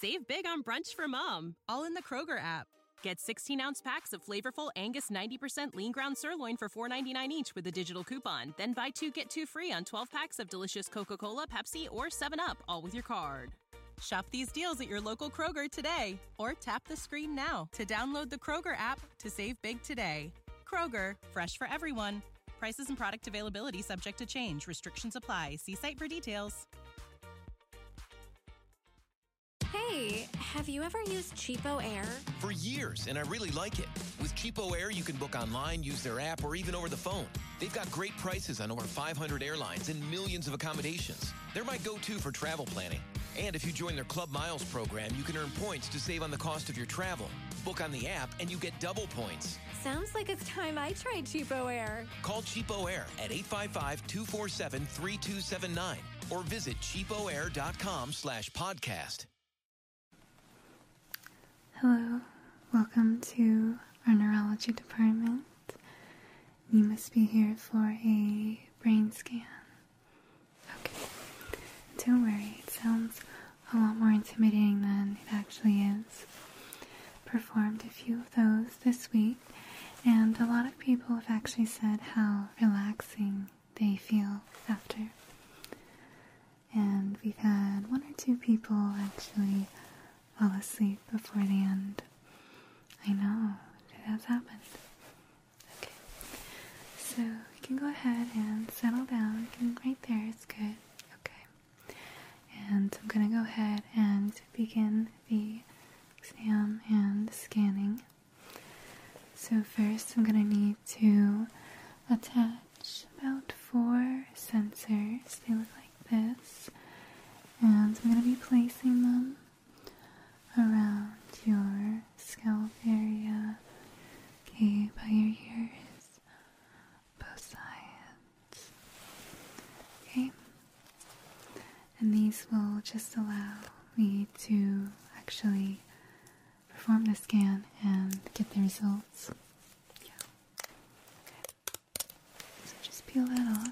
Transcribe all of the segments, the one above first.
Save big on brunch for mom, all in the Kroger app. Get 16 ounce packs of flavorful Angus 90% lean ground sirloin for $4.99 each with a digital coupon. Then buy two get two free on 12 packs of delicious Coca Cola, Pepsi, or 7UP, all with your card. Shop these deals at your local Kroger today or tap the screen now to download the Kroger app to save big today. Kroger, fresh for everyone. Prices and product availability subject to change. Restrictions apply. See site for details. Hey, have you ever used Cheapo Air? For years, and I really like it. With Cheapo Air, you can book online, use their app, or even over the phone. They've got great prices on over 500 airlines and millions of accommodations. They're my go to for travel planning. And if you join their Club Miles program, you can earn points to save on the cost of your travel. Book on the app, and you get double points. Sounds like it's time I tried Cheapo Air. Call Cheapo Air at 855-247-3279 or visit cheapoair.com slash podcast. Hello, welcome to our neurology department. You must be here for a brain scan. Okay, don't worry, it sounds a lot more intimidating than it actually is performed a few of those this week, and a lot of people have actually said how relaxing they feel after. And we've had one or two people actually fall asleep before the end. I know, it has happened. Okay, so you can go ahead and settle down. You right there, it's good. Okay. And I'm going to go ahead and begin the exam and scanning. So, first, I'm going to need to attach about four sensors. They look like this. And I'm going to be placing them around your scalp area, okay, by your ears, both sides. Okay? And these will just allow me to actually perform the scan and get the results. So just peel that off.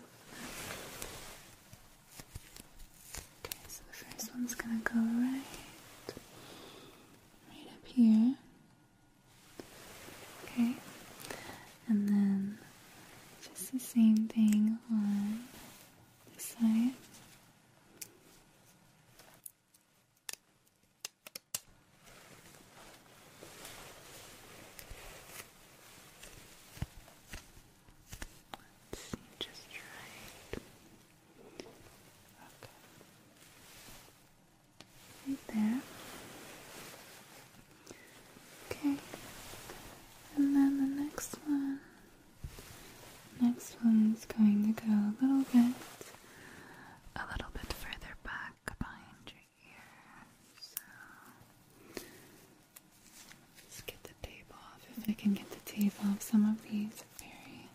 Okay, so the first one's gonna go right, right up here. Okay, and then just the same thing on this side. just try Okay. Right there. Okay. And then the next one. Next one is going to go a little bit a little bit further back behind your ear. So let's get the tape off. If I can get the tape off, some of these are very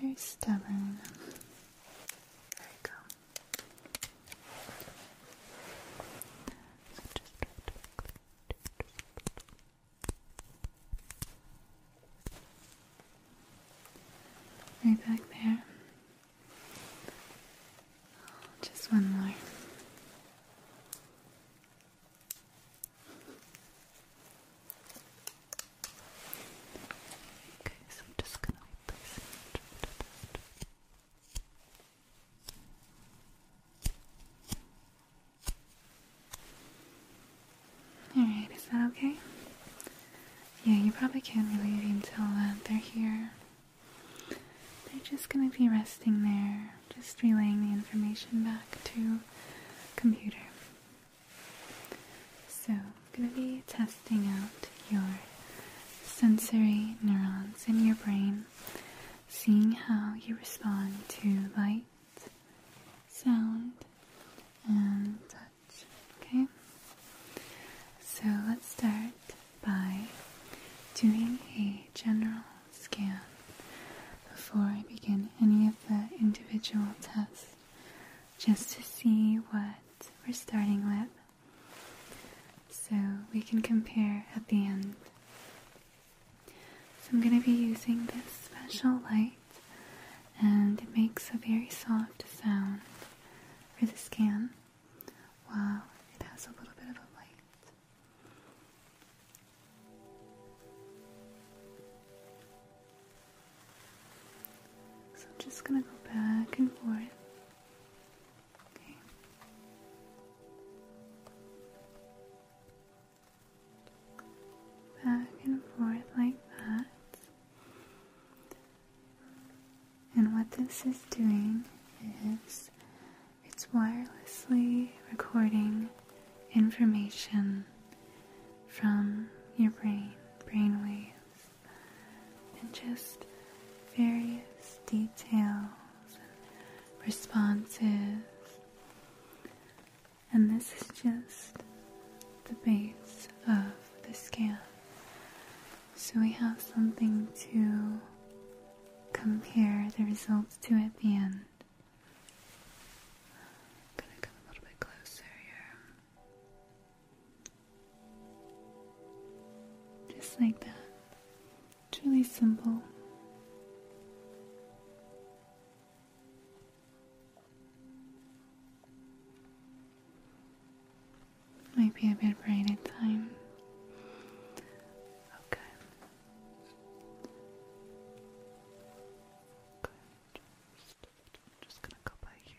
very stubborn. There you go. So just Right back there. Just one more. Okay, so I'm just gonna replace it. Alright, is that okay? Yeah, you probably can't really leave until uh, they're here. They're just gonna be resting there, just relaying the information back to computer. So, it's gonna be testing testing out your sensory neurons in your brain, seeing how you respond to light, sound, and touch. Okay? So let's start by doing a general scan before I begin any of the individual tests just to see what we're starting with so we can compare at the end. So I'm going to be using this special light and it makes a very soft sound for the scan while it has a little bit of a light. So I'm just going to go back and forth Back and forth like that. And what this is doing is it's wirelessly recording information from your brain, brain waves and just various details and responses. And this is just the base of the scan. So we have something to compare the results to at the end. I'm gonna come a little bit closer here. Just like that. It's really simple. Might be a bit bright at times. Okay. Good. just gonna go by here.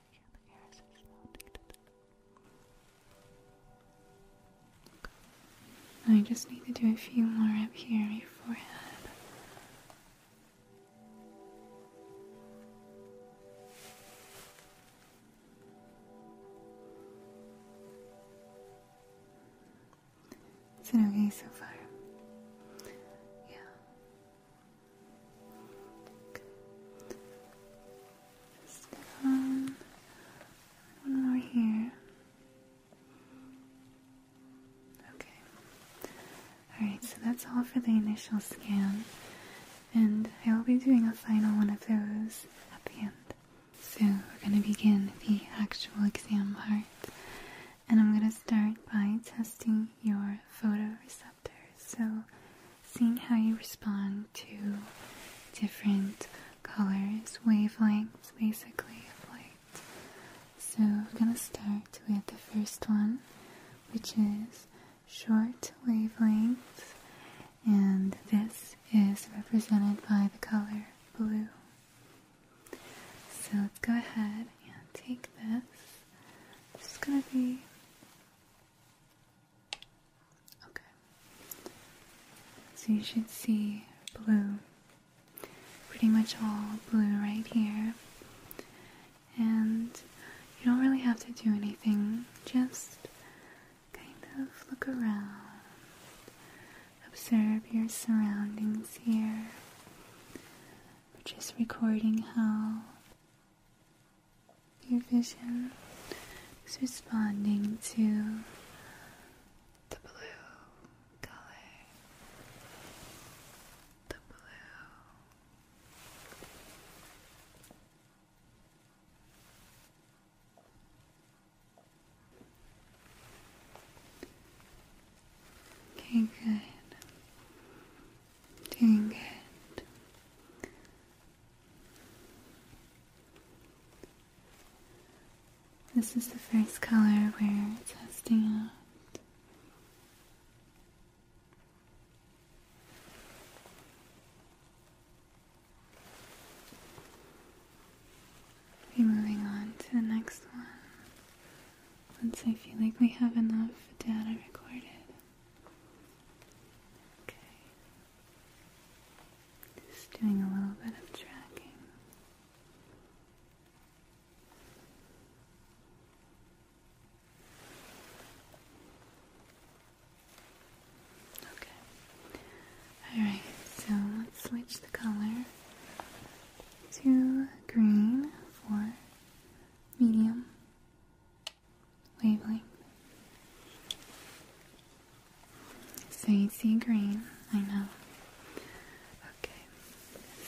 I just need to do a few more up here on your forehead. Is it okay so far? Yeah. Uh, one more here. Okay. Alright, so that's all for the initial scan. And I will be doing a final one of those at the end. So we're going to begin the actual exam part. And I'm going to start by testing your photoreceptors. So, seeing how you respond to different colors, wavelengths basically of light. So, we're gonna start with the first one, which is short wavelengths, and this is represented by the color blue. So, let's go ahead and take this. This is gonna be okay. So you should see blue, pretty much all blue right here. And you don't really have to do anything, just kind of look around, observe your surroundings here. We're just recording how your vision is responding to the blue color, the blue. Okay, good. Doing good. This is the first color we're testing out. Be moving on to the next one. Once I feel like we have enough data recorded. Okay. Just doing a little bit of tracking. Okay. Alright, so let's switch the color to green for medium labeling. Fancy green, I know. Okay,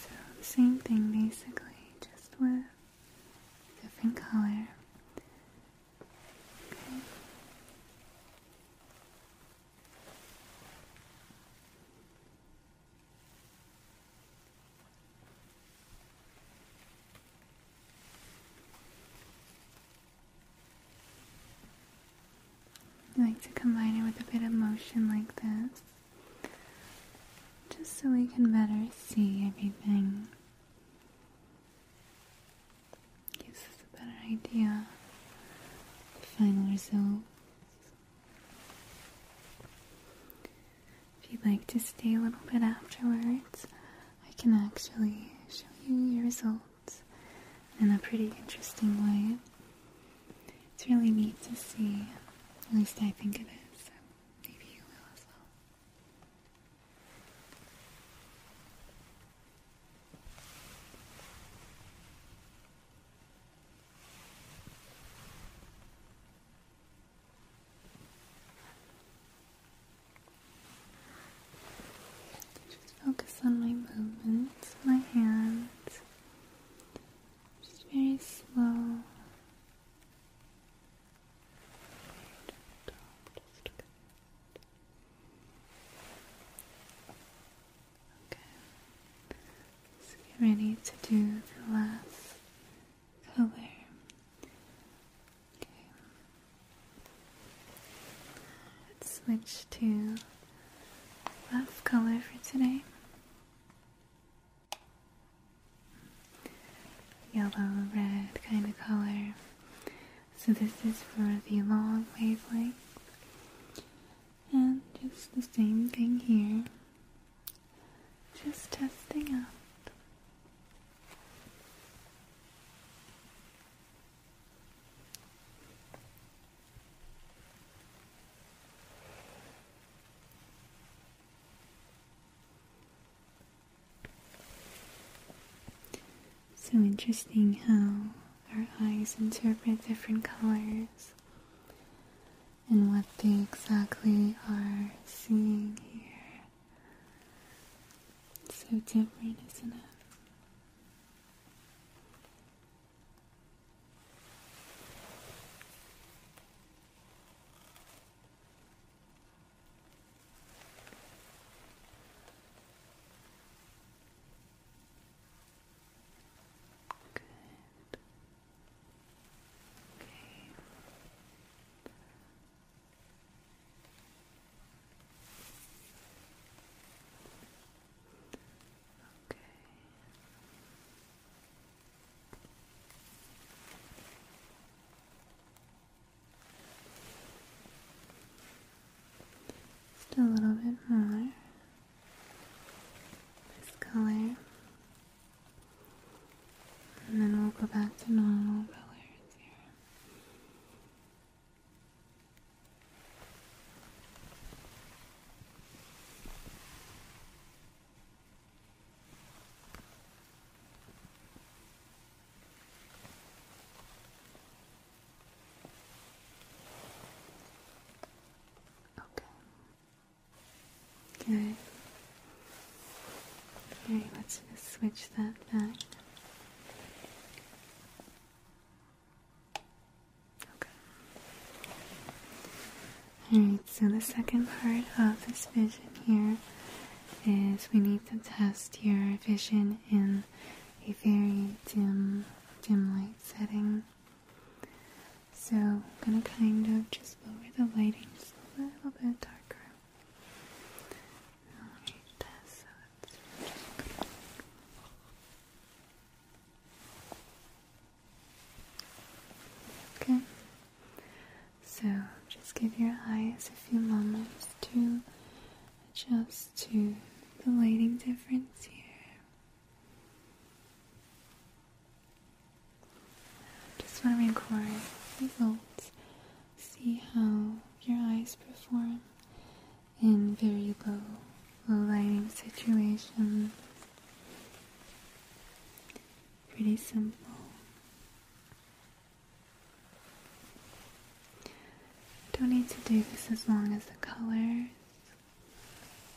so same thing basically, just with different color. I like to combine it with a bit of motion like this, just so we can better see everything. Gives us a better idea of the final result. If you'd like to stay a little bit afterwards, I can actually show you your results in a pretty interesting way. It's really neat to see, at least I think it is, maybe you will as well. Just focus on my movements, my hands. Just very slow. Okay. So get ready to do the last color. Okay. Let's switch to buff color for today. Yellow, red kind of color. So this is for the long wavelength. And just the same thing here. Just testing out. So interesting how our eyes interpret different colors and what they exactly are seeing here. so different, isn't it? Good. Okay. Okay. Just a little bit more. This color. And then we'll go back to normal Okay. Good. Okay, let's just switch that back. Okay. Alright, so the second part of this vision here is we need to test your vision in a very dim, dim light setting. So I'm gonna kind of just lower the lighting a little bit darker. Okay. So just give your eyes a few moments to adjust to the lighting difference here. Just want to record results, see how your eyes perform in very low, low lighting situations. Pretty simple. Don't need to do this as long as the colors.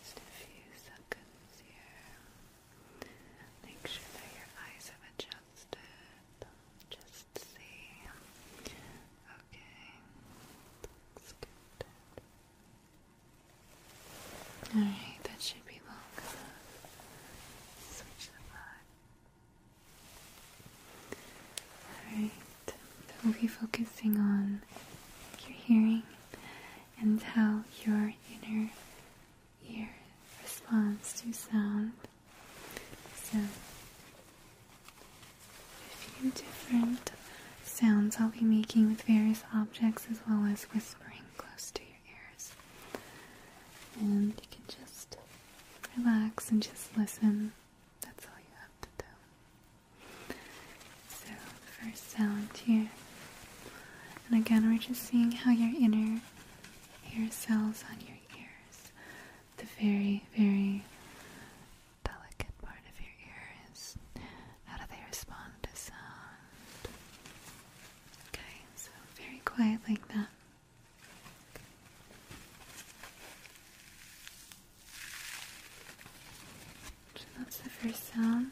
Just a few seconds here. Make sure that your eyes have adjusted. Just see. Okay. Looks good. Alright, that should be long enough. Switch the vibe. Alright. We'll be focusing on your hearing and how your inner ear responds to sound. So, a few different sounds I'll be making with various objects as well as whispering close to your ears. And you can just relax and just listen. That's all you have to do. So, the first sound here. And again, we're just seeing how your inner hair cells on your ears. The very, very delicate part of your ears how do they respond to sound? Okay, so very quiet like that. that's the first sound.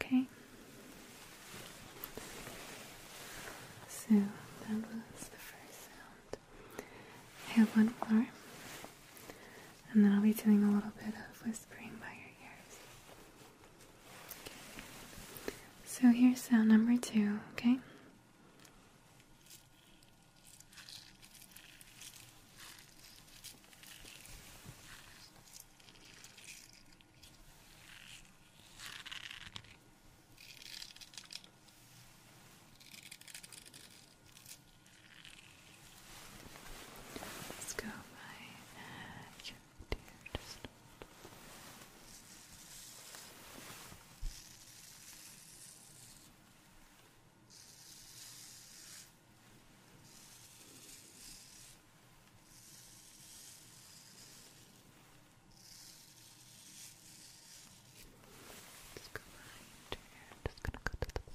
Okay. So that was the first sound. I have one more, and then I'll be doing a little bit of whispering by your ears. So here's sound number two, okay? Let's go by uh, dear, just Let's go here. just gonna go to the book.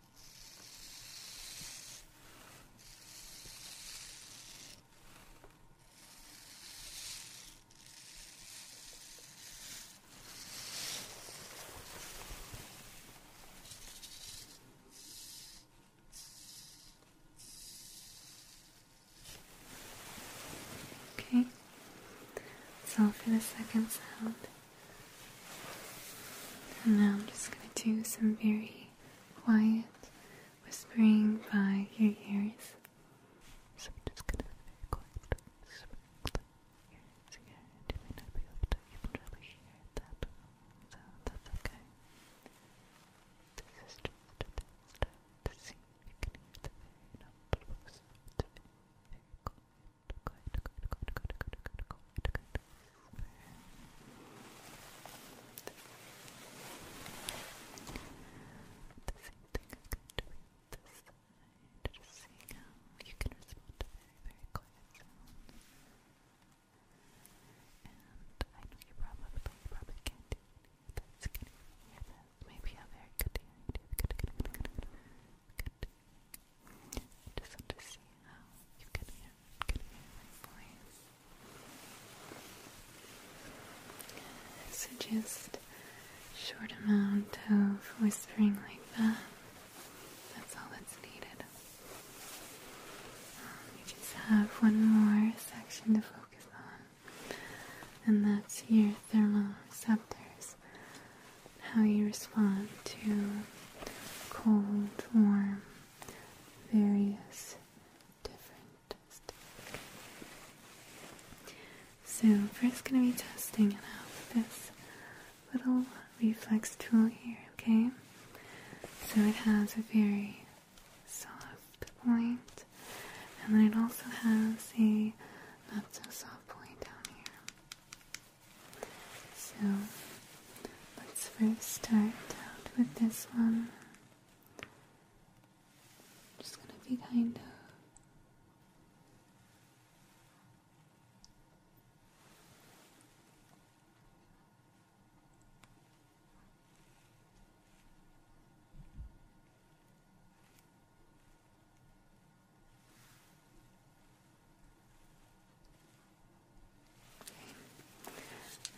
Okay, so for the second sound, and now I'm just going to do some very quiet whispering by your ears. So just gonna be quiet whispering by your You may not be able to even really hear that, so that's okay. This is just a test to see if you can hear it. Very quiet, quiet, quiet, the same thing I can do this side, just seeing how you can respond to very, very quiet sounds. And I know you probably, you probably can't do it. That's good. Yeah, that's maybe very good idea. Good, good, good, good, just want to see how you can everyone can So just short amount of whispering like that. That's all that's needed. We um, just have one more section to focus on, and that's your thermal receptors how you respond to cold, warm, various different stuff. So first gonna be testing it out with this little reflex tool here, okay? So it has a very soft point and then it also has a not so soft point down here. So Let's first start out with this one. just gonna be kind of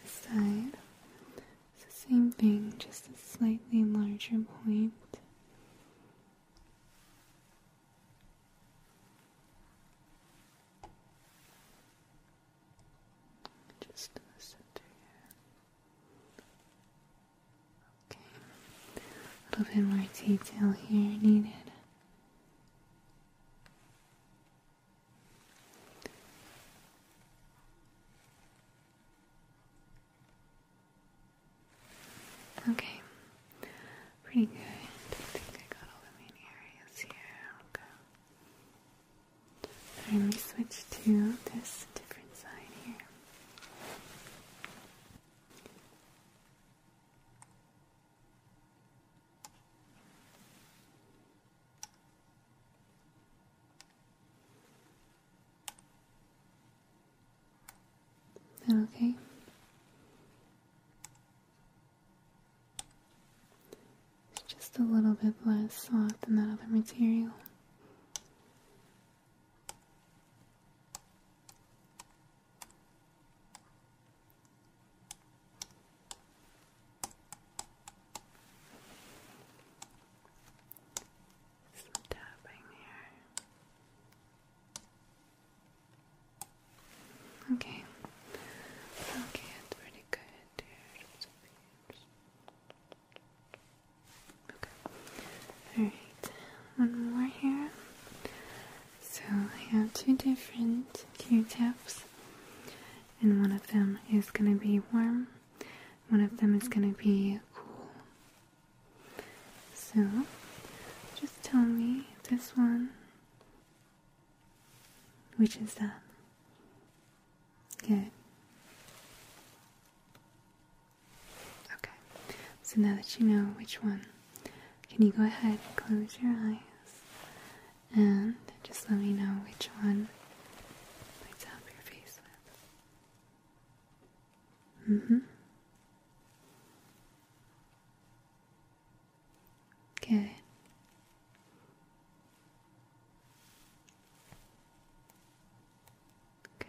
side, same thing, just a slightly larger point. Just in the center here. Okay, a little bit more detail here needed. Okay, pretty good. I think I got all the main areas here. Okay. Alright, let me switch to this different side here okay? It's just a little bit less soft than that other material. Some tapping here. Okay. Okay, it's pretty good Okay. Alright, one more here. So I have two different Q-tips and one of them is going to be warm, one of them is going to be cool. So, just tell me this one. Which is that? Good. Okay, so now that you know which one, can you go ahead and close your eyes and just let me know which one lights up your face with. Mm hmm. Good. Good.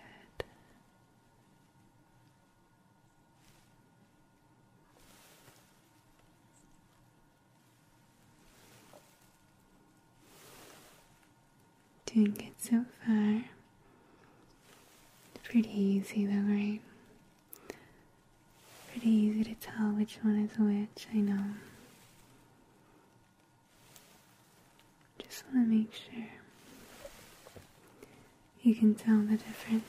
Doing good so far. Pretty easy though, right? Pretty easy to tell which one is which, I know. Just want to make sure you can tell the difference.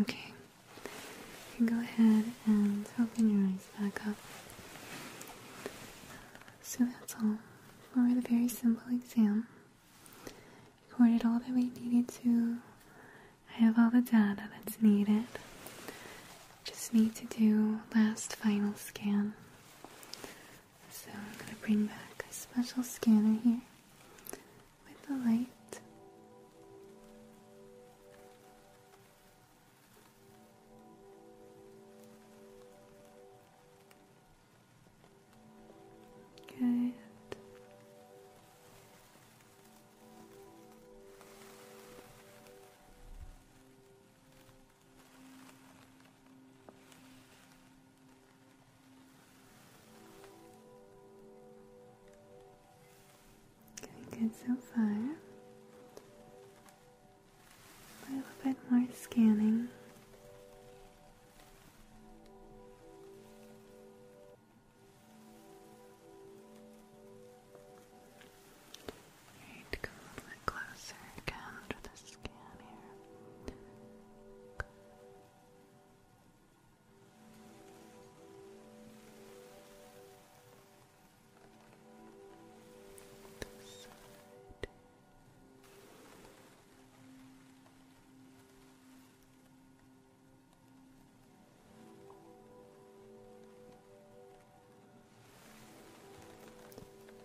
Okay, you can go ahead and open your eyes back up. So that's all for the very simple exam. Recorded all that we needed to. I have all the data that's needed. Just need to do last final scan. So I'm going to bring back a special scanner here with the light. Good. Going good so far. A little bit more scanning. Alright, come a little bit closer again to the scan here. This side.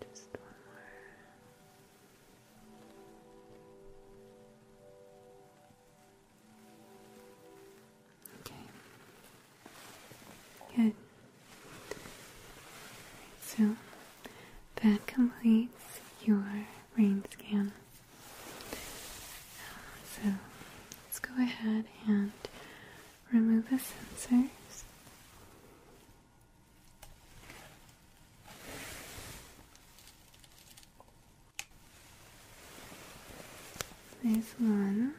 Just one more. Good. Okay. Good. So that completes your brain scan. So let's go ahead and remove the sensors. This one.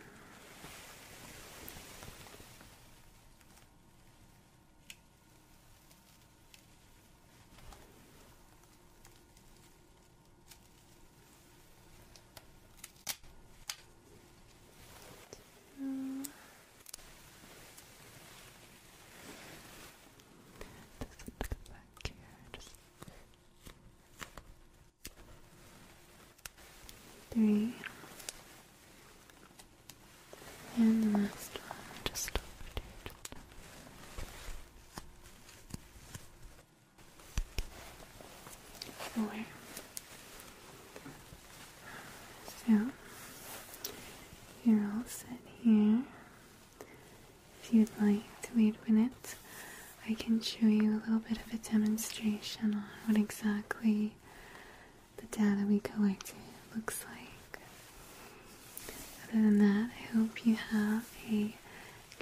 Two. look back here. Just three, and the last one, just over there. Four. So you're all set here. If you'd like to wait a minute, I can show you a little bit of a demonstration on what exactly the data we collected looks like. Other than that, I hope you have a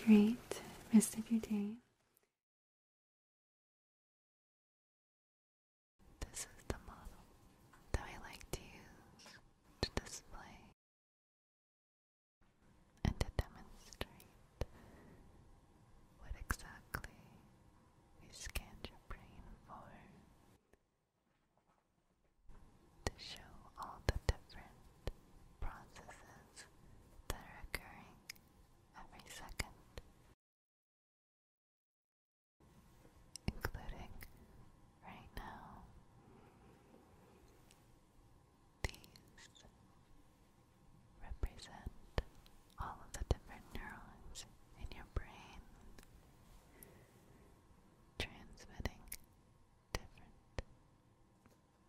great rest of your day. This is the model that I like to use to display and to demonstrate what exactly we scanned your brain for to show all the different processes that are occurring every second, including right now. These represent all of the different neurons in your brain transmitting different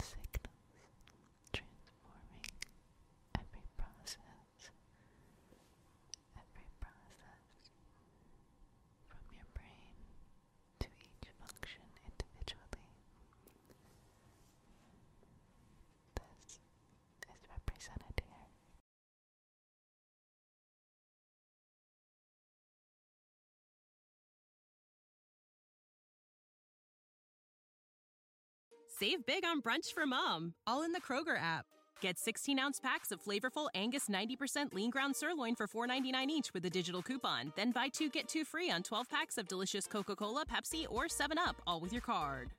signals, transforming every process, every process from your brain to each function individually. This is represented here. Save big on brunch for mom, all in the Kroger app. Get 16 ounce packs of flavorful Angus 90% lean ground sirloin for $4.99 each with a digital coupon. Then buy two get two free on 12 packs of delicious Coca Cola, Pepsi, or 7UP, all with your card.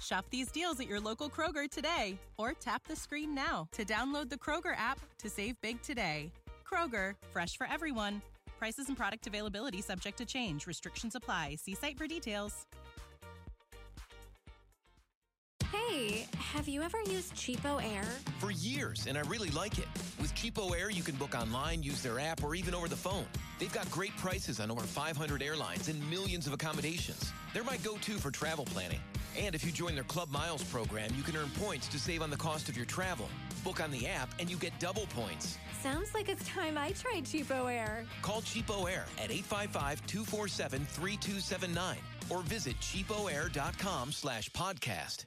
Shop these deals at your local Kroger today or tap the screen now to download the Kroger app to save big today. Kroger, fresh for everyone. Prices and product availability subject to change. Restrictions apply. See site for details. Hey, have you ever used Cheapo Air? For years, and I really like it. With Cheapo Air, you can book online, use their app, or even over the phone. They've got great prices on over 500 airlines and millions of accommodations. They're my go to for travel planning. And if you join their Club Miles program, you can earn points to save on the cost of your travel. Book on the app, and you get double points. Sounds like it's time I tried Cheapo Air. Call Cheapo Air at 855 247 3279 or visit cheapoair.com slash podcast.